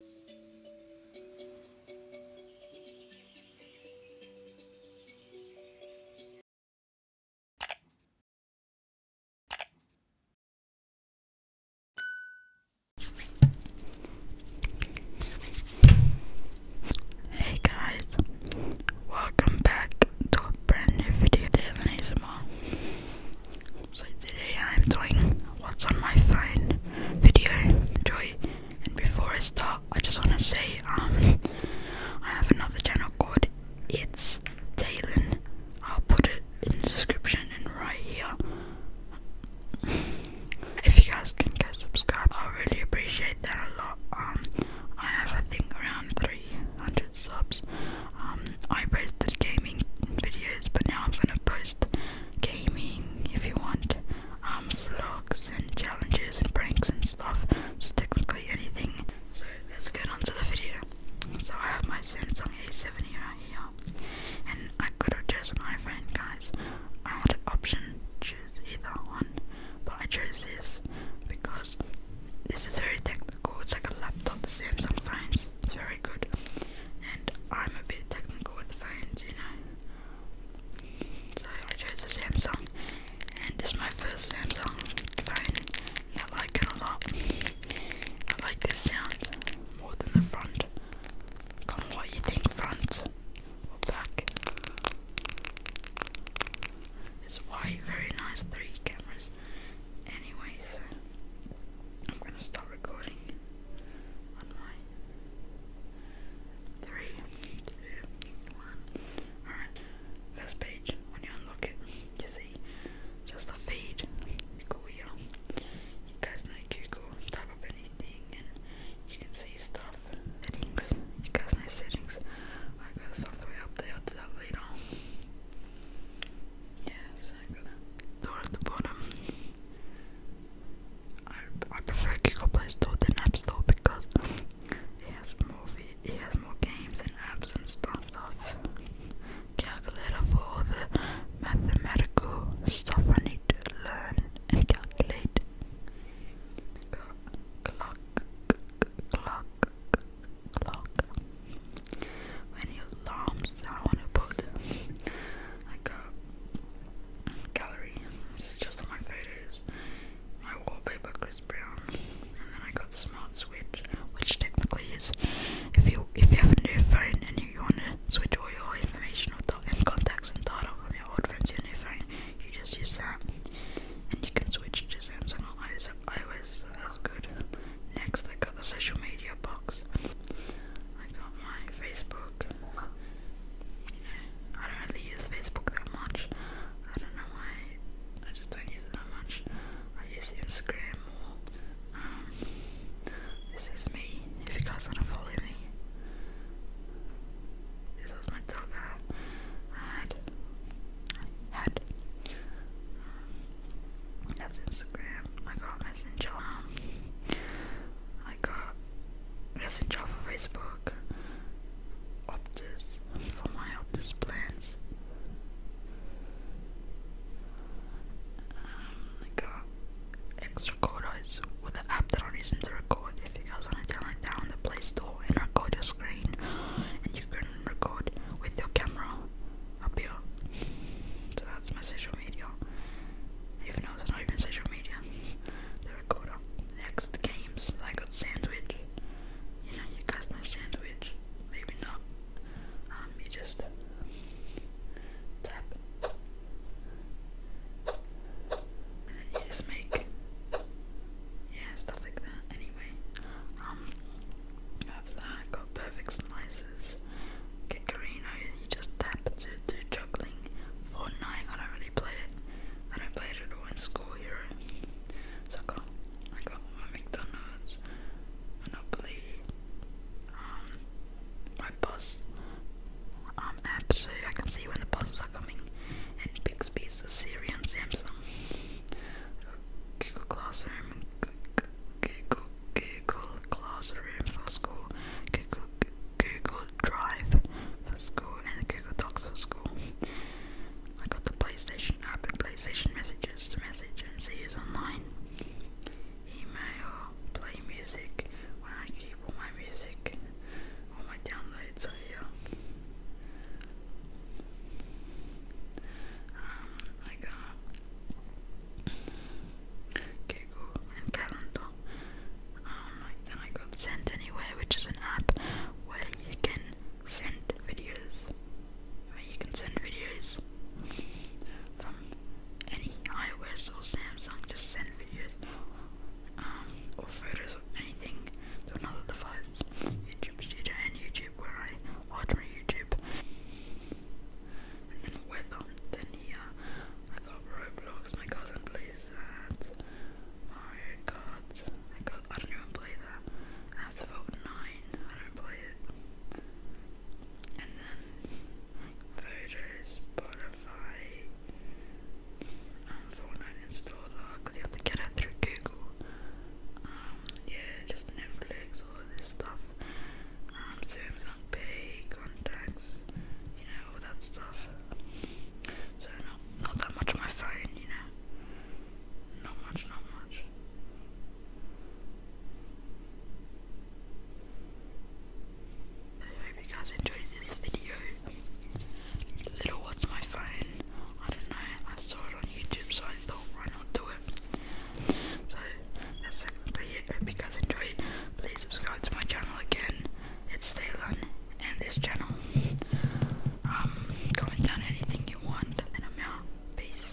Hey guys, welcome back to a brand new video. Dylan ASMR. So today I'm doing what's on my phone video. Enjoy. And before I start, I just want to say um I have another channel called It's Talon. I'll put it in the description and right here. If you guys can go subscribe, I really appreciate that a lot. Um, I have I think around 300 subs. Um, I posted gaming videos, but now I'm gonna post gaming if you want, um, vlogs and challenges and pranks and stuff. So technically anything. So let's get onto the video. So I have my Samsung A7 right here, and I could have chosen iPhone, guys. I had an option choose either one, but I chose this because this is very technical. It's like a laptop. The Samsung phones. It's very very good. And I'm a bit technical with phones, you know. So I chose a Samsung, and this my first Samsung phone. I like it a lot. I like this sound more than the front. Come on, what you think, front or It's white, very nice. Three cameras. Anyways, I'm gonna stop recording three, two, one. Alright, first page, when you unlock it, you see just a feed. Google, you guys know Google, type up anything and you can see stuff. Settings, you guys know settings. I got software up there, I'll do that later. Yes, I'm gonna at the bottom. I, I prefer Google Play Store than App Store because he has more it has more games and apps and stuff. stuff. Calculator for all the mathematical stuff I need to learn and calculate. Clock, clock, clock. When you alarms, I want to put like a gallery. This is just all my photos. My wallpaper Chris Brown, and then I got smart switch, which technically is if you if you have a new phone and you, want to switch all your information and contacts and data from your old phone to your new phone, you just use that, and you can switch to Samsung or iOS. That's good. Next, I got the social media box. I got my Facebook. You know, I don't really use Facebook that much. I don't know why. I just don't use it that much. I use Instagram more. Um, this is me. If you guys wanna follow me. This is my cover uh, and head. Um, that's Instagram. I got Messenger. Um, I got Messenger for Facebook. Optus for my Optus plans. Um, I got extra code with the app that I use to record if you guys want to down the Play Store and record your screen, and you can record with your camera up here. So that's my social media. Even though it's not even social media, the recorder. Next games, I got Sandwich. You know, you guys Sandwich. Maybe not. Um, you just tap and you just make yeah stuff like that. Anyway, um, that got perfect slices. Get Carino, you just tap to do juggling. Fortnite, I don't really play it. I don't play it at all in school here. So I got I got my McDonald's, Monopoly, um, my bus, I'm um, apps so I can see when the buses are coming. And Bixby is the Siri and Samsung. Google Classroom, Google, Google Classroom for school, Google, Google Drive for school, and Google Docs for school. I got the PlayStation app and PlayStation messages to message and see who's online. Email, play music when I all my music all my downloads here. Um, I got Google and Calendar. Um, then I got Send Anywhere, which is an app where you can send videos. Where you can send videos any iOS or Samsung just send videos um, or photos of anything to another device. YouTube Studio and YouTube where I watch my YouTube. And then weather. Then here I got Roblox. My cousin plays that. Mario Kart. I don't even play that. Asphalt Nine. I don't play it. And then Voodoo, Spotify. Um, Fortnite installer because uh, you have to get it through Google. Um, yeah, just Netflix, all of this stuff. Um, Samsung Pay, contacts, you know, all that stuff. So not not that much on my phone, you know. Not much, not much. I hope you guys enjoyed this video. Little what's my phone? I don't know. I saw it on YouTube, so I thought why not do it. So that's technically it. Hope you guys enjoyed. Please subscribe to my channel again. It's Thailand and this channel. Um, comment down anything you want, and I'm out. Peace.